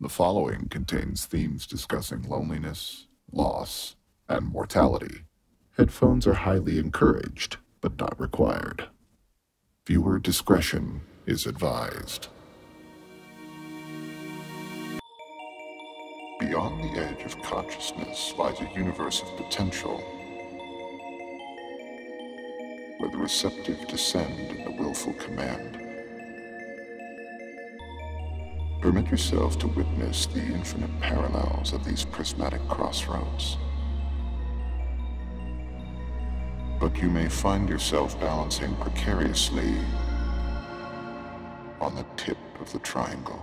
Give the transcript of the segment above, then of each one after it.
The following contains themes discussing loneliness, loss, and mortality. Headphones are highly encouraged, but not required. Viewer discretion is advised. Beyond the edge of consciousness lies a universe of potential, where the receptive descend and the willful command. Permit yourself to witness the infinite parallels of these prismatic crossroads. But you may find yourself balancing precariously on the tip of the triangle.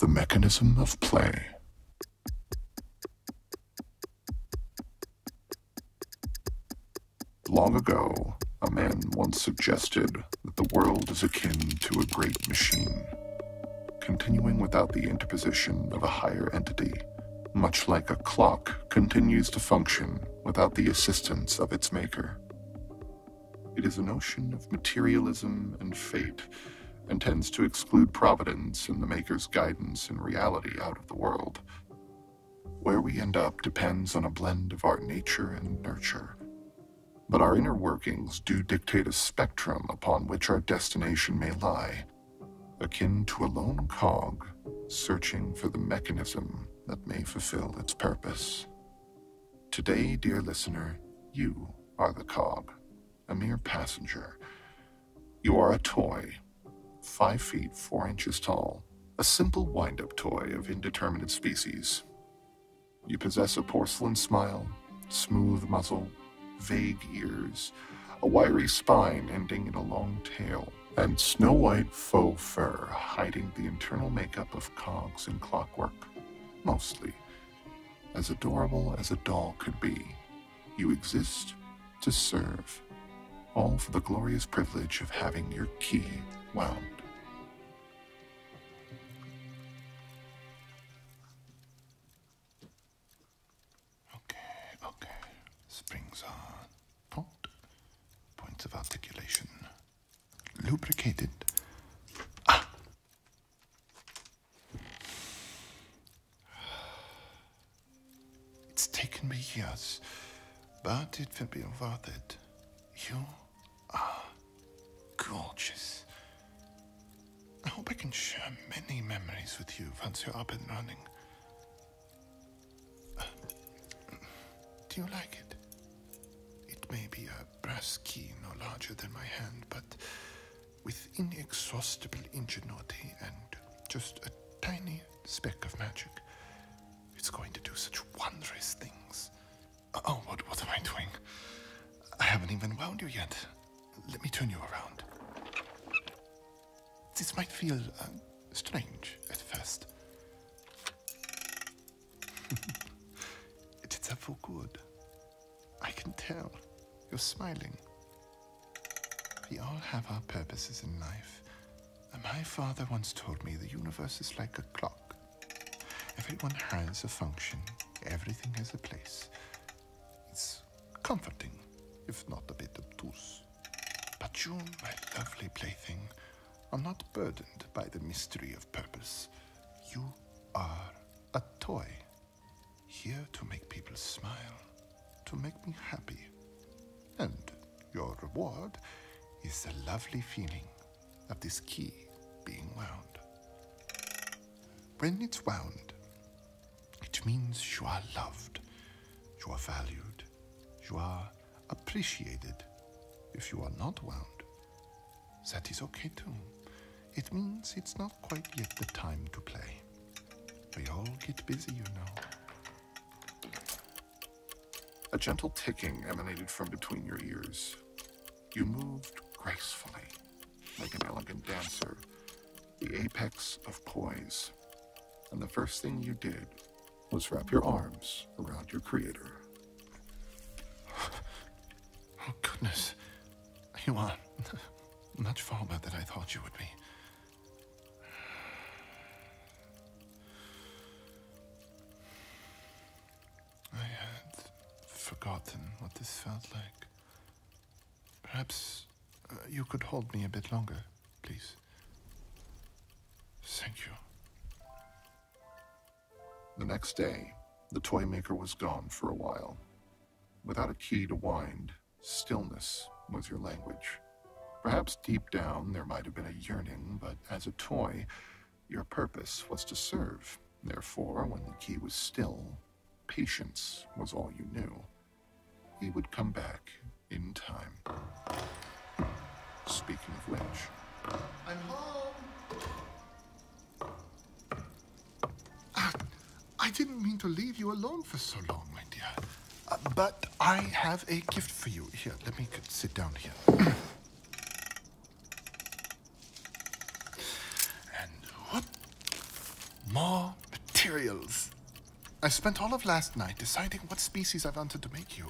The mechanism of play Long ago, a man once suggested that the world is akin to a great machine, continuing without the interposition of a higher entity, much like a clock continues to function without the assistance of its maker. It is a notion of materialism and fate and tends to exclude providence and the Maker's guidance and reality out of the world. Where we end up depends on a blend of our nature and nurture. But our inner workings do dictate a spectrum upon which our destination may lie, akin to a lone cog searching for the mechanism that may fulfill its purpose. Today, dear listener, you are the cog a mere passenger. You are a toy, five feet four inches tall, a simple wind up toy of indeterminate species. You possess a porcelain smile, smooth muzzle, vague ears, a wiry spine ending in a long tail, and snow white faux fur hiding the internal makeup of cogs and clockwork, mostly. As adorable as a doll could be, you exist to serve, all for the glorious privilege of having your key wound. Okay, okay. Springs are taut. Points of articulation lubricated. Ah! It's taken me years, but it will be worth it. You are gorgeous. I hope I can share many memories with you once you're up and running. Uh, do you like it? It may be a brass key no larger than my hand, but with inexhaustible ingenuity and just a tiny speck of magic, it's going to do such wondrous things. Oh, what, am I doing? I haven't even wound you yet. Let me turn you around. This might feel uh, strange at first. it is up for good. I can tell. You're smiling. We all have our purposes in life. and My father once told me the universe is like a clock. Everyone has a function, everything has a place. It's comforting, if not a bit obtuse. But you, my lovely plaything, are not burdened by the mystery of purpose. You are a toy. Here to make people smile, to make me happy. And your reward is the lovely feeling of this key being wound. When it's wound, it means you are loved, you are valued, you are appreciated. If you are not wound, that is okay too. It means it's not quite yet the time to play. We all get busy, you know. A gentle ticking emanated from between your ears. You moved gracefully, like an elegant dancer, the apex of poise. And the first thing you did was wrap your arms around your creator. Oh, goodness. You uh, are much far farther than I thought you would be. I had forgotten what this felt like. Perhaps uh, you could hold me a bit longer, please. Thank you. The next day, the toy maker was gone for a while. Without a key to wind, Stillness was your language. Perhaps deep down there might have been a yearning, but as a toy, your purpose was to serve. Therefore, when the key was still, patience was all you knew. He would come back in time. Speaking of which, I'm home! Ah, I didn't mean to leave you alone for so long, my dear. Uh, but I have a gift for you. Here, let me sit down here. and whoop, more materials. I spent all of last night deciding what species I wanted to make you.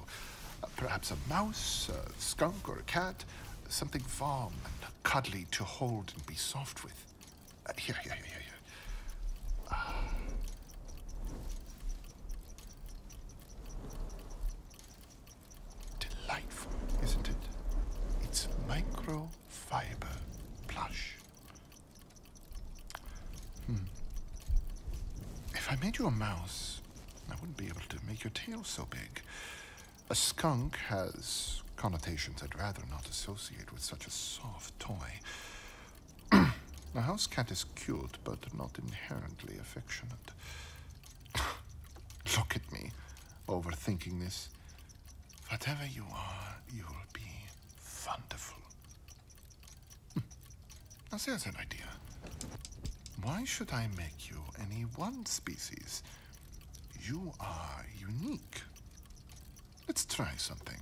Uh, perhaps a mouse, a skunk, or a cat. Something warm and cuddly to hold and be soft with. Delightful, isn't it? It's microfiber plush. Hmm. If I made you a mouse, I wouldn't be able to make your tail so big. A skunk has connotations I'd rather not associate with such a soft toy. A house cat is cute, but not inherently affectionate. Look at me, overthinking this. Whatever you are, you will be wonderful. Hmm. Now, there's an idea. Why should I make you any one species? You are unique. Let's try something.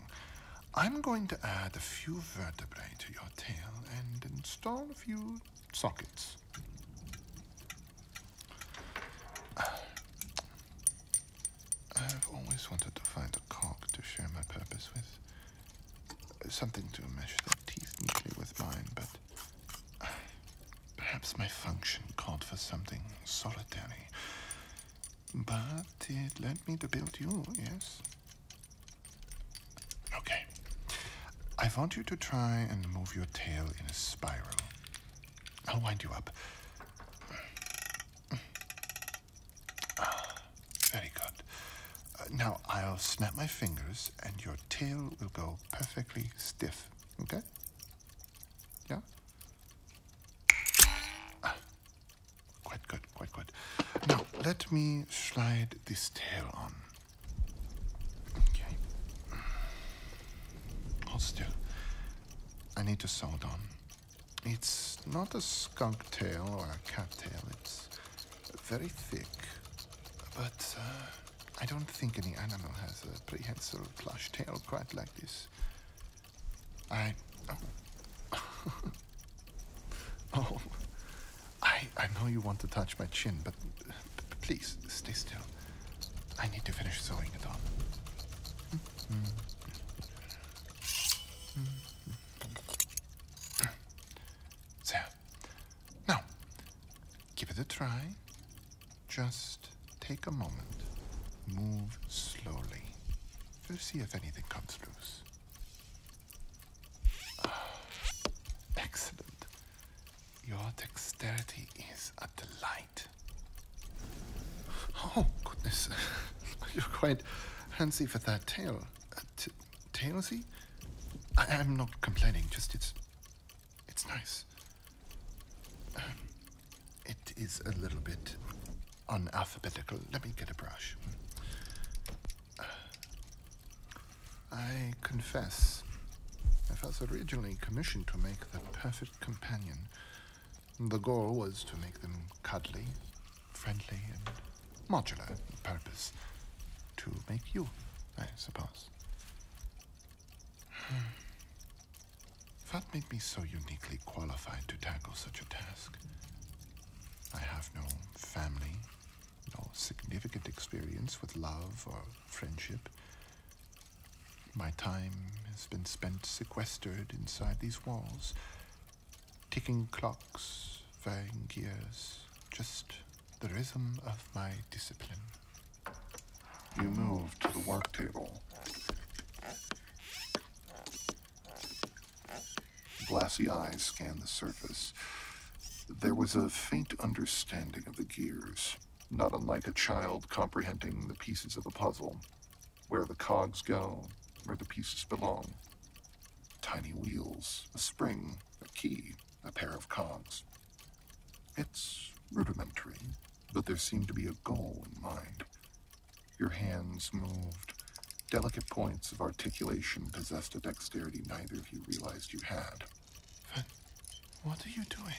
I'm going to add a few vertebrae to your tail and install a few sockets. Uh, I've always wanted to find a cock to share my purpose with. Something to mesh their teeth neatly with mine, but uh, perhaps my function called for something solitary. But it led me to build you, yes? Okay. I want you to try and move your tail in a spiral. I'll wind you up. Ah, very good. Uh, now I'll snap my fingers and your tail will go perfectly stiff, okay? Yeah? Ah. Quite good, quite good. Now, let me slide this tail on. Okay. Hold still. I need to sew it on. It's not a skunk tail or a cat tail. It's very thick, but uh, I don't think any animal has a prehensile plush tail quite like this. I. Oh. oh. I, I know you want to touch my chin, but please stay still. I need to finish sewing it on. There. Now, give it a try. Just take a moment. Move slowly. Let's see if anything comes loose. Ah, excellent. Your dexterity is a delight. Oh, goodness. You're quite fancy for that tail. Uh, tailsy? I- am not complaining, just it's. it's nice. Um, it is a little bit unalphabetical. Let me get a brush. I confess, I was originally commissioned to make the perfect companion. The goal was to make them cuddly, friendly, and modular in purpose. To make you, I suppose. That made me so uniquely qualified to tackle such a task. I have no family, no significant experience with love or friendship. My time has been spent sequestered inside these walls, ticking clocks, varying gears, just the rhythm of my discipline. You move to the work table. Glassy eyes scanned the surface. There was a faint understanding of the gears, not unlike a child comprehending the pieces of a puzzle. Where the cogs go, where the pieces belong. Tiny wheels, a spring, a key, a pair of cogs. It's rudimentary, but there seemed to be a goal in mind. Your hands moved. Delicate points of articulation possessed a dexterity neither of you realized you had. what are you doing?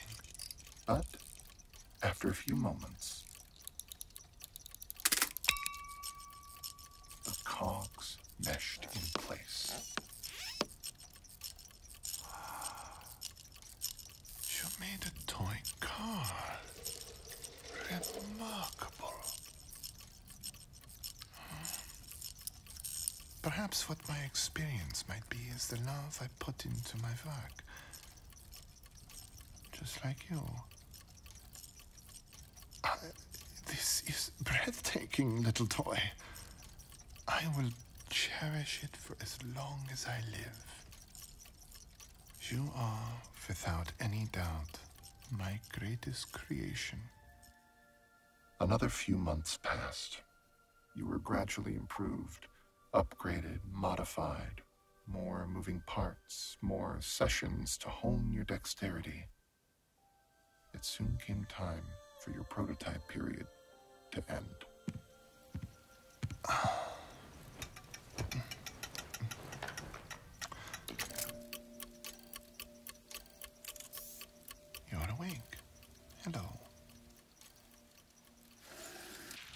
But, after a few moments, the cogs meshed in place. You made a toy car. Remarkable. Hmm. Perhaps what my experience might be is the love I put into my work. Just like you. this is breathtaking, little toy. I will cherish it for as long as I live. You are, without any doubt, my greatest creation. Another few months passed. You were gradually improved, upgraded, modified, more moving parts, more sessions to hone your dexterity. It soon came time for your prototype period to end. You're awake. Hello.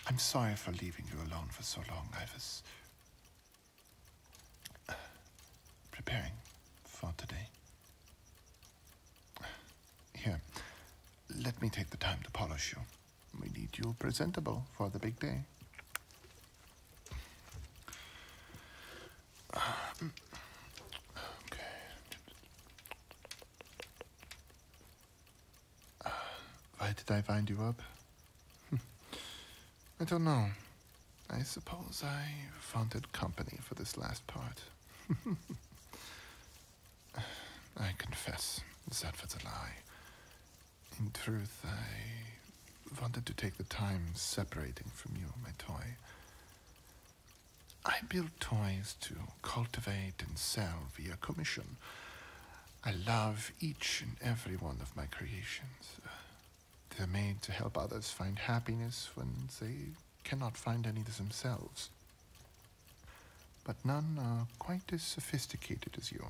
I'm sorry for leaving you alone for so long. I was uh, preparing for today. Here, let me take the time to polish you. We need you presentable for the big day. why did I wind you up? Hmm. I don't know. I suppose I wanted company for this last part. I confess, that was a lie. In truth, I wanted to take the time separating from you, my toy. I build toys to cultivate and sell via commission. I love each and every one of my creations. They're made to help others find happiness when they cannot find any themselves. But none are quite as sophisticated as you.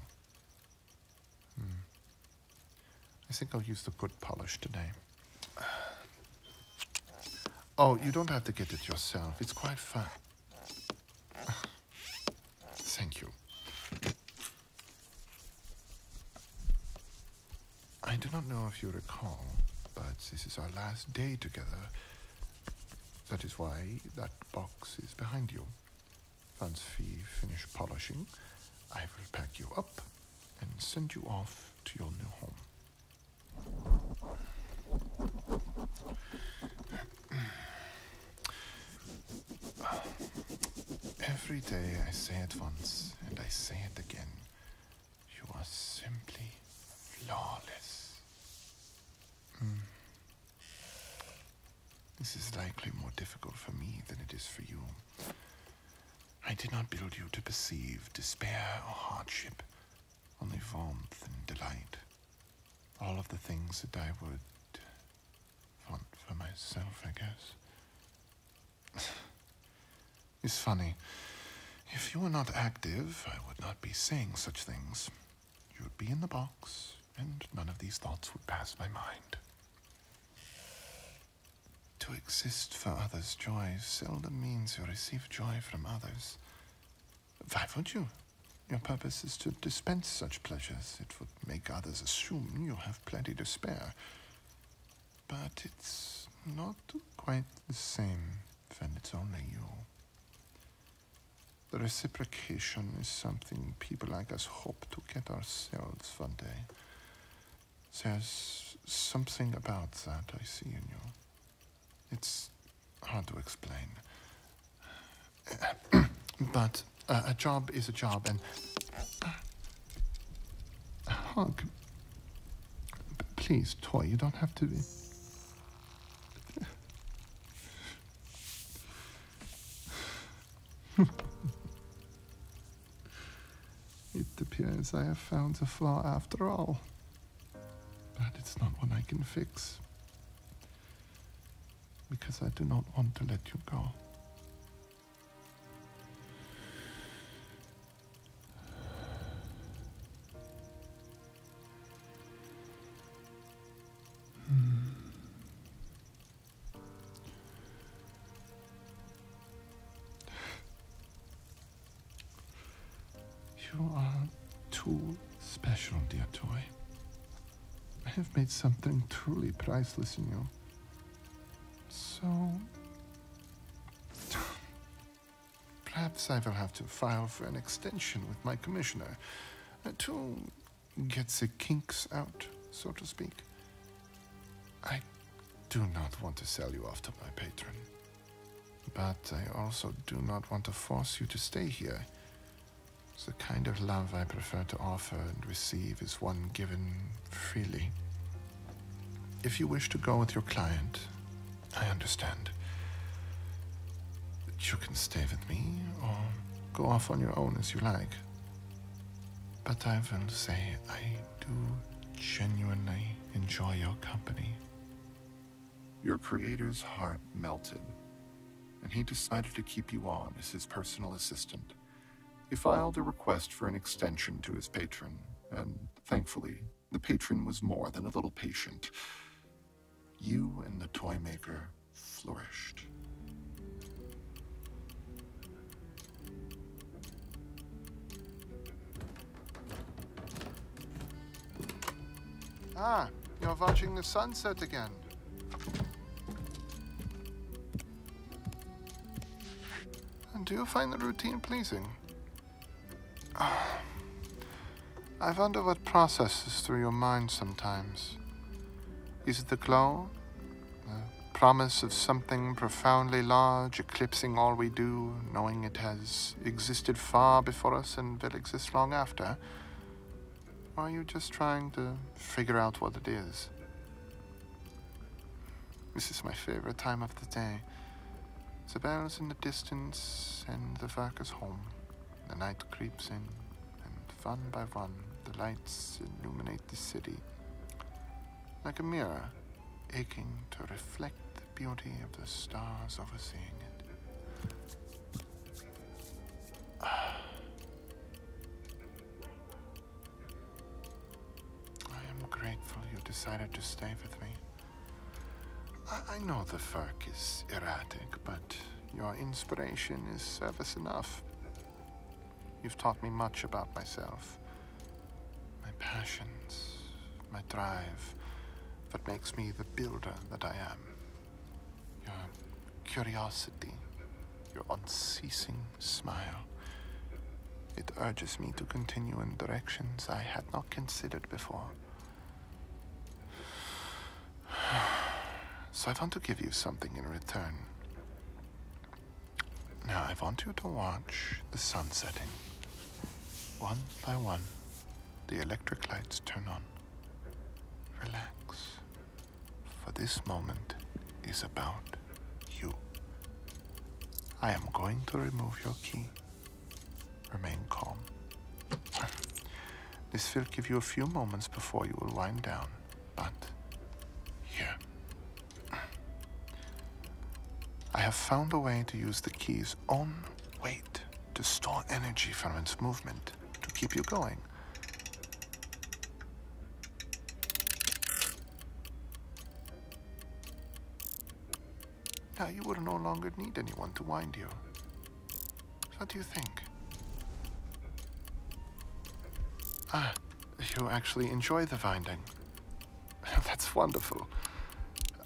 Hmm. I think I'll use the good polish today. Oh, you don't have to get it yourself. It's quite fun. Thank you. I do not know if you recall, but this is our last day together. That is why that box is behind you. Once we finish polishing, I will pack you up and send you off to your new home. Every day I say it once and I say it again. You are simply flawless. Mm. This is likely more difficult for me than it is for you. I did not build you to perceive despair or hardship, only warmth and delight. All of the things that I would want for myself, I guess. it's funny. If you were not active, I would not be saying such things. You'd be in the box, and none of these thoughts would pass my mind. To exist for others' joy seldom means you receive joy from others. Why would you? Your purpose is to dispense such pleasures. It would make others assume you have plenty to spare. But it's not quite the same when it's only you. The reciprocation is something people like us hope to get ourselves one day. There's something about that I see in you. It's hard to explain. but uh, a job is a job, and a hug. Please, toy, you don't have to it appears I have found a flaw after all. But it's not one I can fix. Because I do not want to let you go. Hmm. You are too special, dear toy. I have made something truly priceless in you. So. Perhaps I will have to file for an extension with my commissioner uh, to gets the kinks out, so to speak. I do not want to sell you off to my patron. But I also do not want to force you to stay here. The kind of love I prefer to offer and receive is one given freely. If you wish to go with your client, I understand. But you can stay with me or go off on your own as you like. But I will say I do genuinely enjoy your company. Your creator's heart melted, and he decided to keep you on as his personal assistant. He filed a request for an extension to his patron, and thankfully, the patron was more than a little patient. You and the toy maker flourished. Ah, you're watching the sunset again. And do you find the routine pleasing? Ah, I wonder what processes through your mind sometimes. Is it the glow? The promise of something profoundly large, eclipsing all we do, knowing it has existed far before us and will exist long after. Or are you just trying to figure out what it is? This is my favorite time of the day. The bells in the distance and the workers home. The night creeps in one by one, the lights illuminate the city like a mirror, aching to reflect the beauty of the stars overseeing it. I am grateful you decided to stay with me. I, know the FERC is erratic, but your inspiration is service enough. You've taught me much about myself. My passions, my drive, that makes me the builder that I am. Your curiosity, your unceasing smile. It urges me to continue in directions I had not considered before. So I want to give you something in return. Now I want you to watch the sun setting. One by one, the electric lights turn on. Relax, for this moment is about you. I am going to remove your key. Remain calm. This will give you a few moments before you will wind down but here. I have found a way to use the key's own weight to store energy from its movement to keep you going. Now you will no longer need anyone to wind you. What do you think? Ah. You actually enjoy the binding. That's wonderful.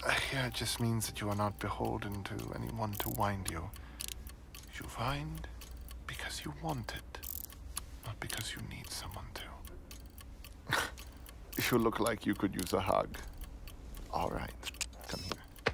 Uh, yeah, it just means that you are not beholden to anyone to wind you. You wind because you want it, not because you need someone to. you look like you could use a hug. All right, come here.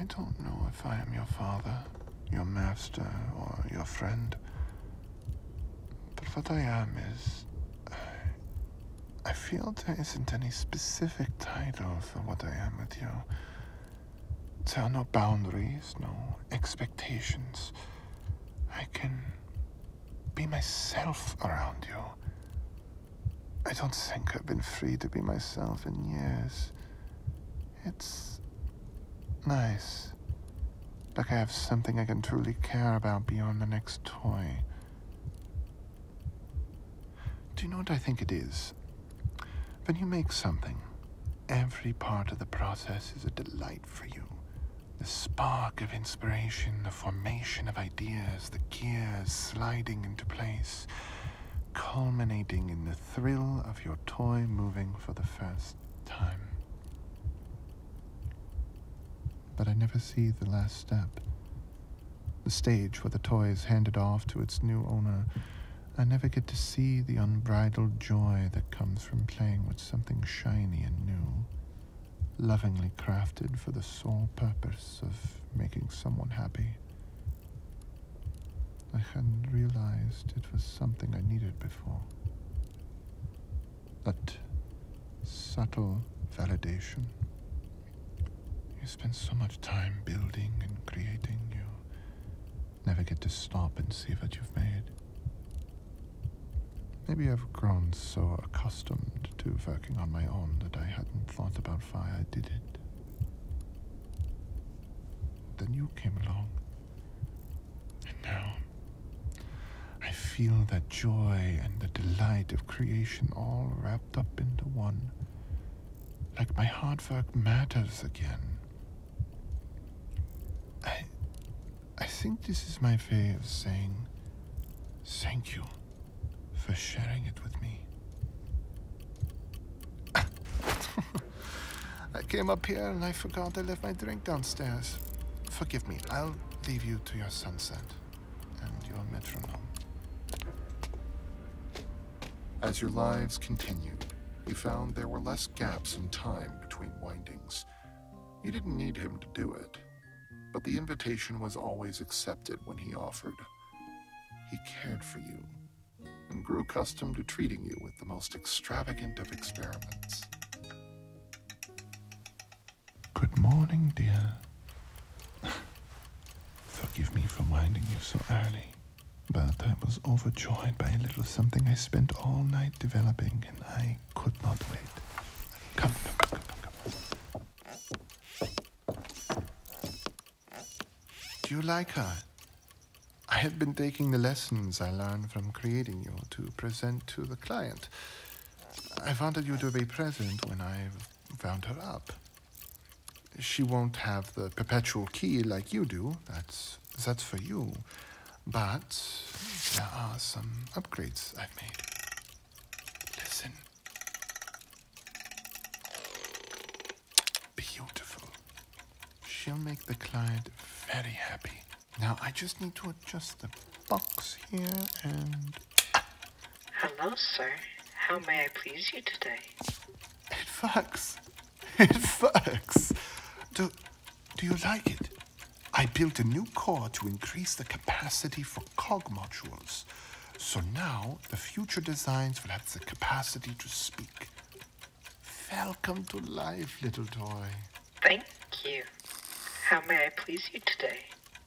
I don't know if I am your father, your master, or your friend. But what I am is. I feel there isn't any specific title for what I am with you. There are no boundaries, no expectations. I can be myself around you. I don't think I've been free to be myself in years. It's nice. Like I have something I can truly care about beyond the next toy. Do you know what I think it is? When you make something, every part of the process is a delight for you. The spark of inspiration, the formation of ideas, the gears sliding into place, culminating in the thrill of your toy moving for the first time. But I never see the last step. The stage where the toy is handed off to its new owner. I never get to see the unbridled joy that comes from playing with something shiny and new, lovingly crafted for the sole purpose of making someone happy. I hadn't realized it was something I needed before. That subtle validation. You spend so much time building and creating, you never get to stop and see what you've made. Maybe I've grown so accustomed to working on my own that I hadn't thought about why I did it. Then you came along, and now, I feel that joy and the delight of creation all wrapped up into one. Like my hard work matters again. I. I think this is my way of saying thank you for sharing it with me. I came up here and I forgot I left my drink downstairs. Forgive me, I'll leave you to your sunset and your metronome. As your lives continued, you found there were less gaps in time between windings. You didn't need him to do it, but the invitation was always accepted when he offered. He cared for you and grew accustomed to treating you with the most extravagant of experiments. Good morning, dear. Forgive me for winding you so early, but I was overjoyed by a little something I spent all night developing, and I could not wait. Come, come, come, come, come. Do you like her? I have been taking the lessons I learned from creating you to present to the client. I wanted you to be present when I found her up. She won't have the perpetual key like you do. That's that's for you. But there are some upgrades I've made. Listen. Beautiful. She'll make the client very happy. Now I just need to adjust the box here and. Hello, sir. How may I please you today? It works. It works. Do, do you like it? I built a new core to increase the capacity for cog modules. So now the future designs will have the capacity to speak. Welcome to life, little toy. Thank you. How may I please you today?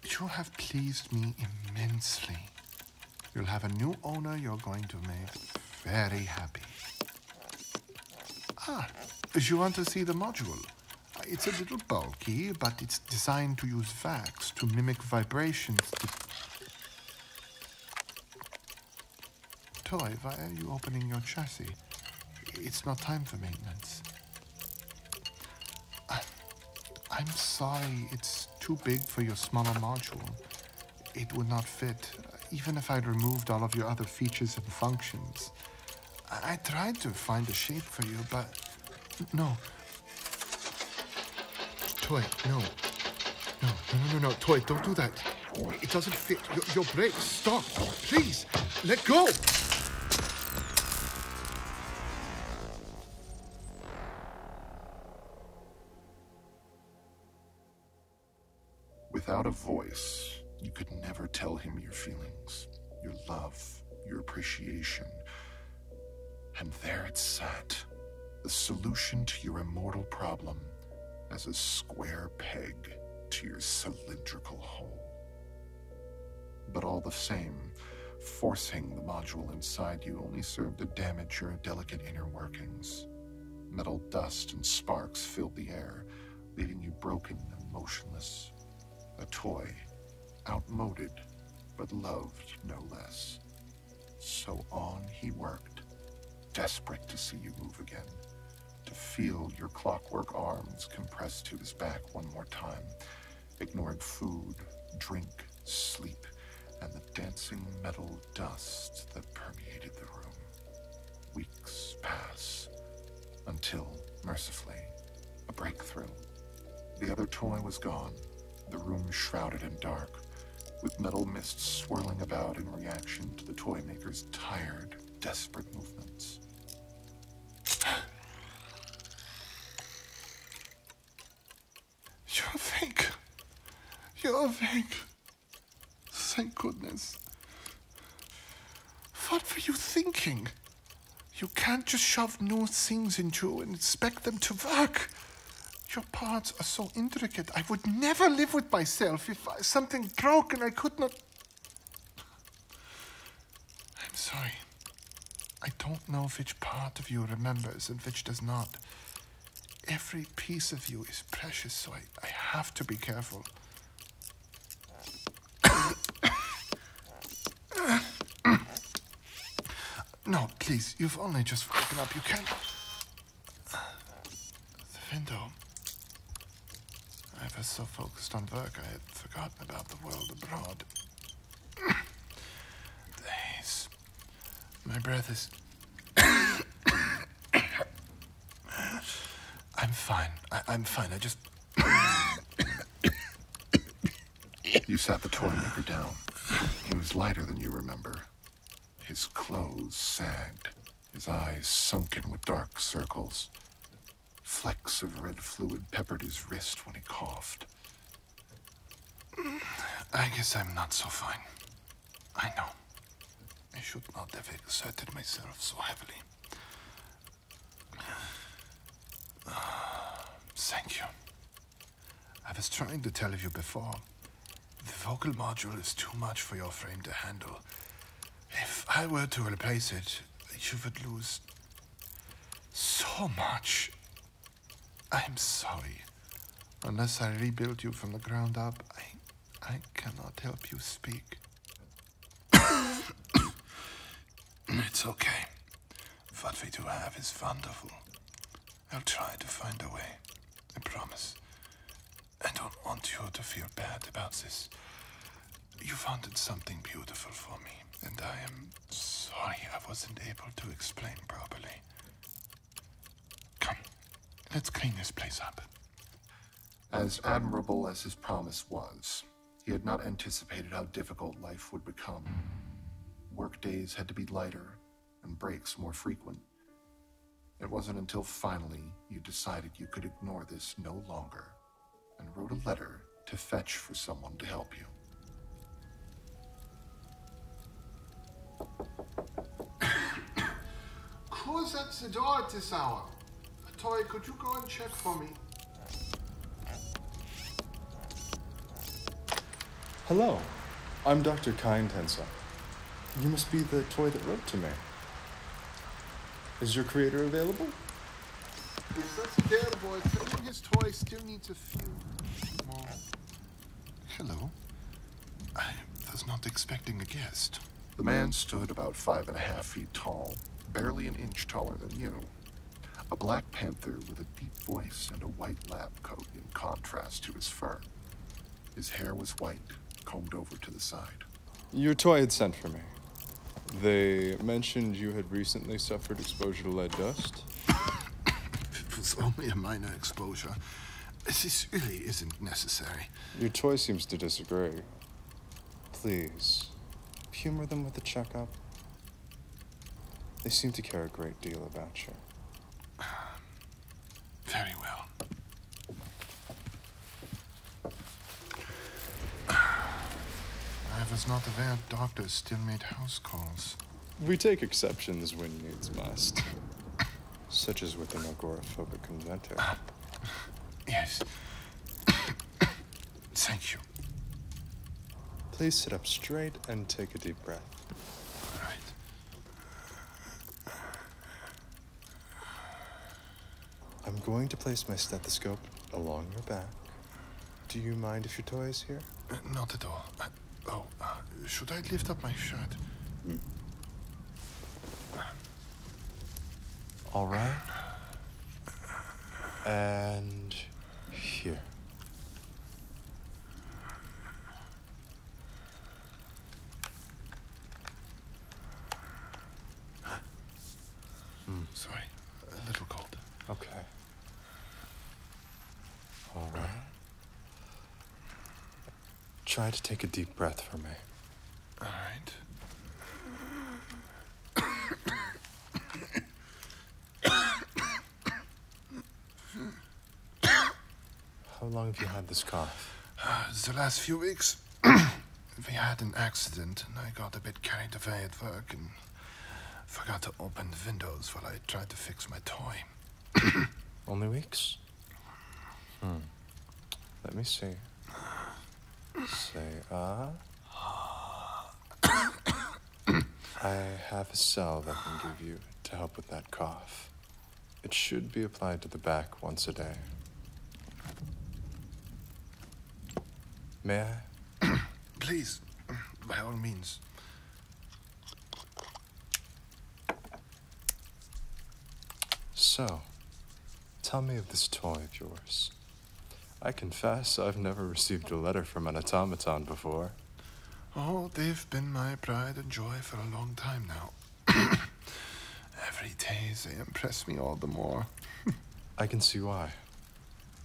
You have pleased me immensely. You'll have a new owner you're going to make very happy. Ah, you want to see the module? It's a little bulky, but it's designed to use wax to mimic vibrations. Toy, why are you opening your chassis? It's not time for maintenance. I, am sorry, it's too big for your smaller module. It would not fit, even if I'd removed all of your other features and functions. I, tried to find a shape for you, but no. Toy, No, no, no, no, no. Toy, don't do that. It doesn't fit. Your, brakes. Stop. Please, let go. Without a voice, you could never tell him your feelings, your love, your appreciation. And there it sat, the solution to your immortal problem as a square peg to your cylindrical hole. But all the same, forcing the module inside you only served to damage your delicate inner workings. Metal dust and sparks filled the air, leaving you broken and motionless. A toy, outmoded, but loved no less. So on he worked, desperate to see you move again to feel your clockwork arms compressed to his back one more time, ignoring food, drink, sleep, and the dancing metal dust that permeated the room. Weeks pass until, mercifully, a breakthrough. The other toy was gone, the room shrouded in dark, with metal mists swirling about in reaction to the toy maker's tired, desperate movements. You're awake. You're awake. Thank goodness. What were you thinking? You can't just shove new things into you and expect them to work. Your parts are so intricate. I would never live with myself if something broke and I could not I'm sorry. I don't know which part of you remembers and which does not. Every piece of you is precious, so I, have to be careful. no, please, you've only just woken up. You can't. The window. I was so focused on work I had forgotten about the world abroad. the My breath is... I'm fine. I am fine. I just... you sat the toymaker down. He was lighter than you remember. His clothes sagged his eyes sunken with dark circles. Flecks of red fluid peppered his wrist when he coughed. I guess I'm not so fine. I know. I should not have exerted myself so heavily. Thank you. I was trying to tell you before. The vocal module is too much for your frame to handle. If I were to replace it, you would lose so much. I'm sorry. Unless I rebuild you from the ground up, I, I cannot help you speak. it's okay. What we do have is wonderful. I'll try to find a way. I promise. I don't want you to feel bad about this. You founded something beautiful for me, and I am sorry I wasn't able to explain properly. Come, let's clean this place up. As admirable as his promise was, he had not anticipated how difficult life would become. Workdays had to be lighter and breaks more frequent. It wasn't until finally you decided you could ignore this no longer and wrote a letter to fetch for someone to help you. Who's at the door at this hour? Toy, could you go and check for me? Hello, I'm Dr. Kind Henson. You must be the toy that wrote to me. Is your creator available? If that's available, his toy still needs a few Hello. I was not expecting a guest. The man stood about five and a half feet tall, barely an inch taller than you. A black panther with a deep voice and a white lab coat in contrast to his fur. His hair was white, combed over to the side. Your toy had sent for me. They mentioned you had recently suffered exposure to lead dust. it was only a minor exposure. This really isn't necessary. Your toy seems to disagree. Please, humor them with a checkup. They seem to care a great deal about you. Very well. I was not aware doctors still made house calls. We take exceptions when needs must, such as with an agoraphobic inventor. yes. Thank you. Please sit up straight and take a deep breath. All right. I'm going to place my stethoscope along your back. Do you mind if your toy is here? Uh, not at all. Uh, oh, uh, should I lift up my shirt? Mm. All right. And here. Mm. Sorry, a little cold. Okay. All right. Try to take a deep breath for me. All right. How long have you had this cough? Uh, the last few weeks. we had an accident, and I got a bit carried away at work and forgot to open the windows while I tried to fix my toy. Only weeks? Hmm. Let me see. Say, ah. I have a salve I can give you to help with that cough. It should be applied to the back once a day. May I? Please, by all means. So, tell me of this toy of yours. I confess I've never received a letter from an automaton before. Oh, they've been my pride and joy for a long time now. Every day they impress me all the more. I can see why.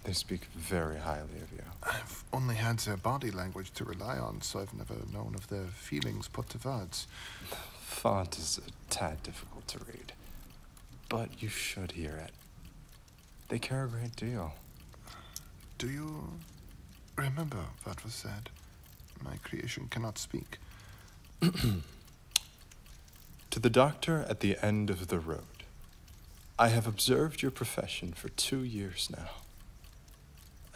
They speak very highly of you. I've only had their body language to rely on, so I've never known of their feelings put to words. The font is a tad difficult to read, but you should hear it. They care a great deal. Do you remember what was said? My creation cannot speak. To the doctor at the end of the road, I have observed your profession for two years now,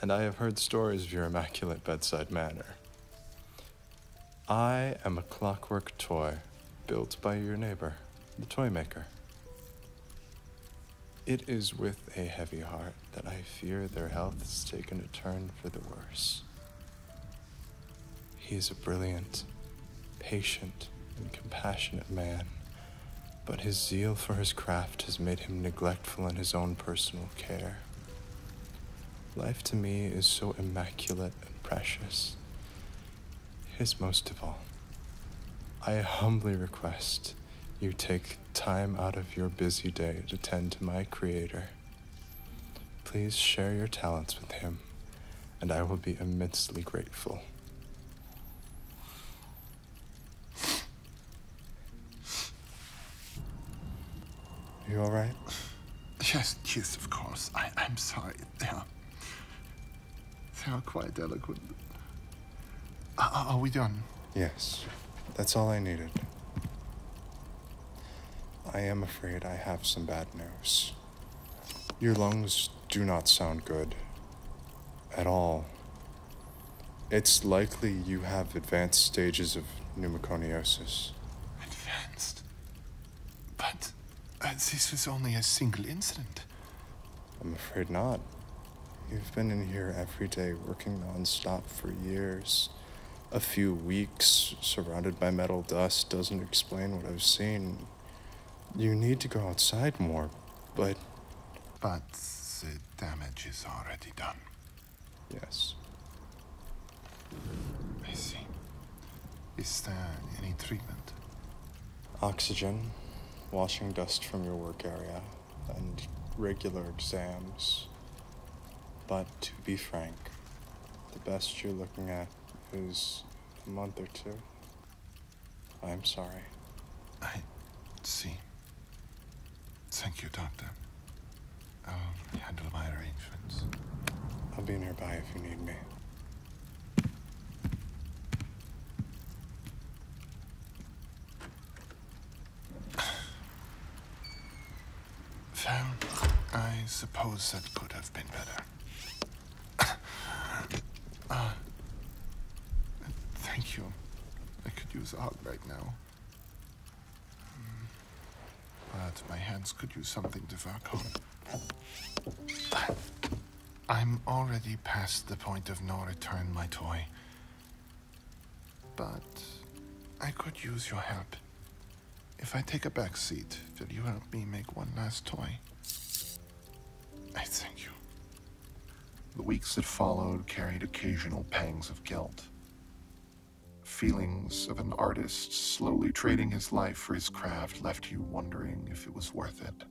and I have heard stories of your immaculate bedside manner. I am a clockwork toy built by your neighbor, the toy maker. It is with a heavy heart that I fear their health has taken a turn for the worse. He is a brilliant, patient, and compassionate man, but his zeal for his craft has made him neglectful in his own personal care. Life to me is so immaculate and precious. His most of all. I humbly request you take time out of your busy day to tend to my Creator. Please share your talents with him, and I will be immensely grateful. You alright? Yes, yes, of course. I, am sorry. They are, they are quite eloquent. Uh, are we done? Yes. That's all I needed. I am afraid I have some bad news. Your lungs do not sound good. At all. It's likely you have advanced stages of pneumoconiosis. Advanced? But this was only a single incident. I'm afraid not. You've been in here every day working nonstop for years a few weeks surrounded by metal dust doesn't explain what I've seen. You need to go outside more, but. But the damage is already done. Yes. I see. Is there any treatment? Oxygen, washing dust from your work area, and regular exams. But to be frank, the best you're looking at I a month or two. I'm sorry. I see. Thank you, Doctor. I'll handle my arrangements. I'll be nearby if you need me. Well, I suppose that could have been better. uh, thank you. I could use a hug right now. Hmm. But my hands could use something to work on. I'm already past the point of no return, my toy. But I could use your help. If I take a back seat, will you help me make one last toy? I thank you. The weeks that followed carried occasional pangs of guilt. Feelings of an artist slowly trading his life for his craft left you wondering if it was worth it.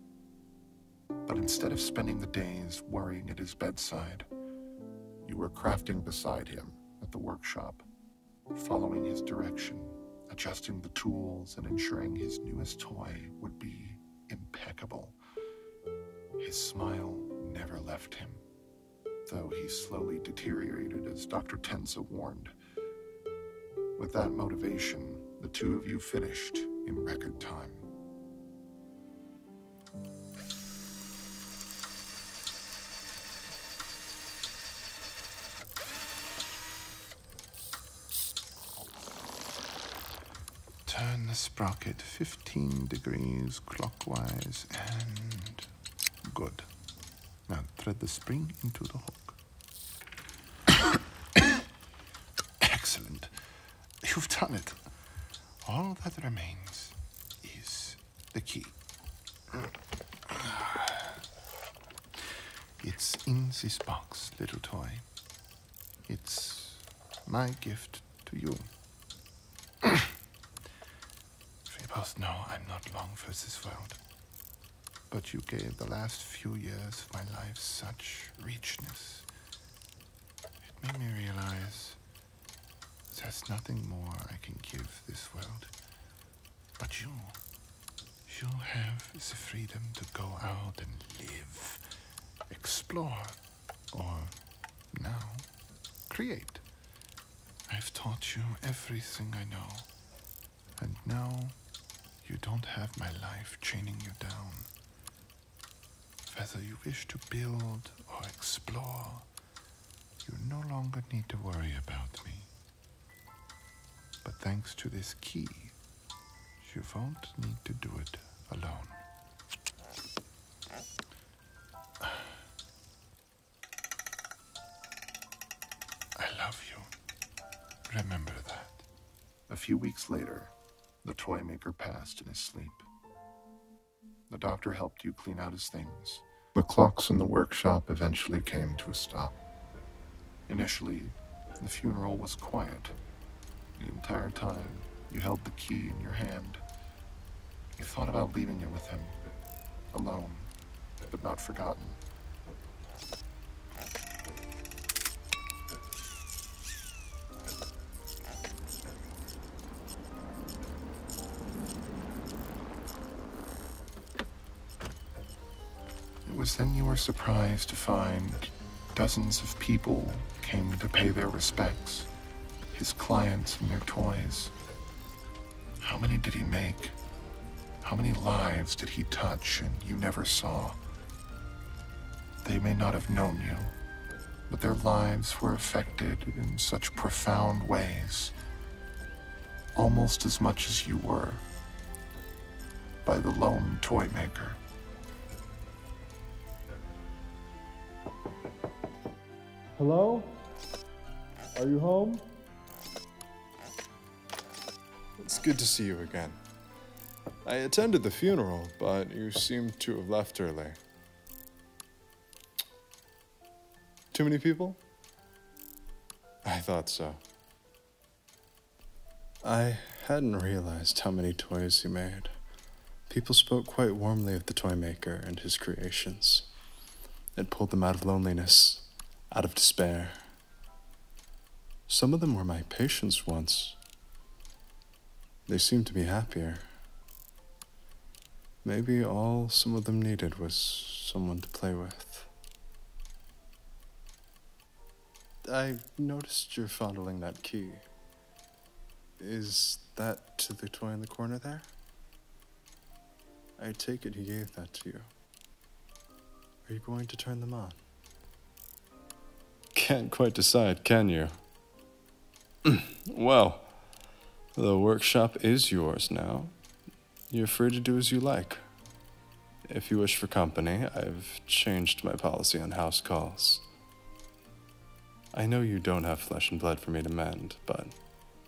But instead of spending the days worrying at his bedside, you were crafting beside him at the workshop following his direction, adjusting the tools, and ensuring his newest toy would be impeccable. His smile never left him, though he slowly deteriorated as Dr. Tensa warned. With that motivation, the two of you finished in record time. Turn the sprocket 15 degrees clockwise and good. Now thread the spring into the hook. Excellent. You've done it. All that remains is the key. It's in this box, little toy. It's my gift to you. Phibos, no, I'm not long for this world. But you gave the last few years of my life such richness. It made me realize there's nothing more I can give this world. But you, you have the freedom to go out and live, explore, or now, create. I've taught you everything I know, and now you don't have my life chaining you down. Whether you wish to build or explore, you no longer need to worry about me. But thanks to this key, you won't need to do it alone. I love you. Remember that. A few weeks later, the toy maker passed in his sleep. The doctor helped you clean out his things the clocks in the workshop eventually came to a stop. Initially, the funeral was quiet. The entire time, you held the key in your hand. You thought about leaving it with him, alone, but not forgotten. It was then you were surprised to find dozens of people came to pay their respects, his clients and their toys. How many did he make? How many lives did he touch and you never saw? They may not have known you, but their lives were affected in such profound ways almost as much as you were, by the lone toy maker. Hello? Are you home? It's good to see you again. I attended the funeral, but you seem to have left early. Too many people? I thought so. I hadn't realized how many toys he made. People spoke quite warmly of the toy maker and his creations. It pulled them out of loneliness, out of despair. Some of them were my patients once. They seemed to be happier. Maybe all some of them needed was someone to play with. I noticed you're fondling that key. Is that the toy in the corner there? I take it he gave that to you. Are you going to turn them on? Can't quite decide, can you? well, the workshop is yours now. You're free to do as you like. If you wish for company, I've changed my policy on house calls. I know you don't have flesh and blood for me to mend, but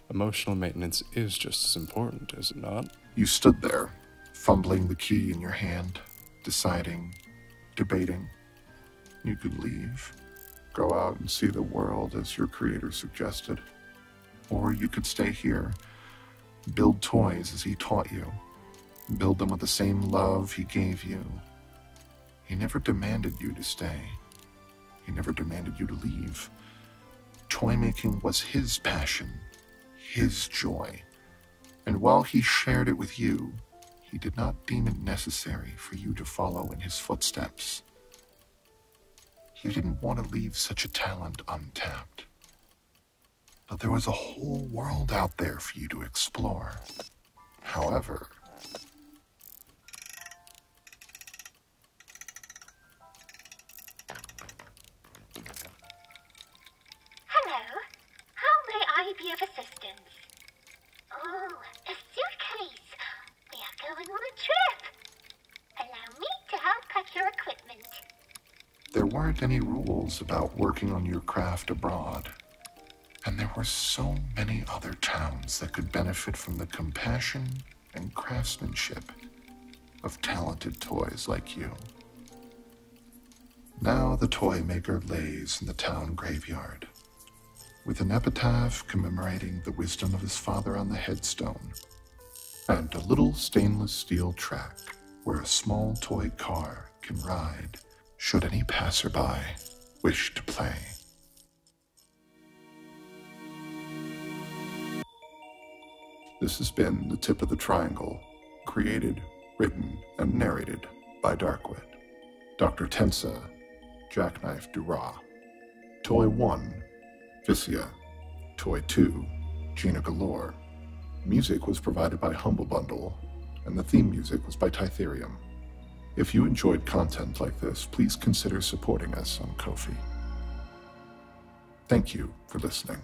emotional maintenance is just as important, is it not? You stood there, fumbling the key in your hand, deciding, debating. You could leave, go out and see the world as your creator suggested, or you could stay here, build toys as he taught you, build them with the same love he gave you. He never demanded you to stay. He never demanded you to leave. Toy making was his passion, his joy. And while he shared it with you, he did not deem it necessary for you to follow in his footsteps. You didn't want to leave such a talent untapped. But there was a whole world out there for you to explore. However, Hello. How may I be of assistance? Oh, a suitcase. We are going on a trip. There weren't any rules about working on your craft abroad. And there were so many other towns that could benefit from the compassion and craftsmanship of talented toys like you. Now the toy maker lays in the town graveyard, with an epitaph commemorating the wisdom of his father on the headstone and a little stainless steel track where a small toy car can ride should any passerby wish to play. This has been The Tip of the Triangle, created, written, and narrated by Darkwit. Dr. Tensa, Jackknife Dura, Toy 1, Viscia, Toy 2, Gina Galore. Music was provided by Humble Bundle, and the theme music was by Titherium. If you enjoyed content like this, please consider supporting us on Ko-fi. Thank you for listening.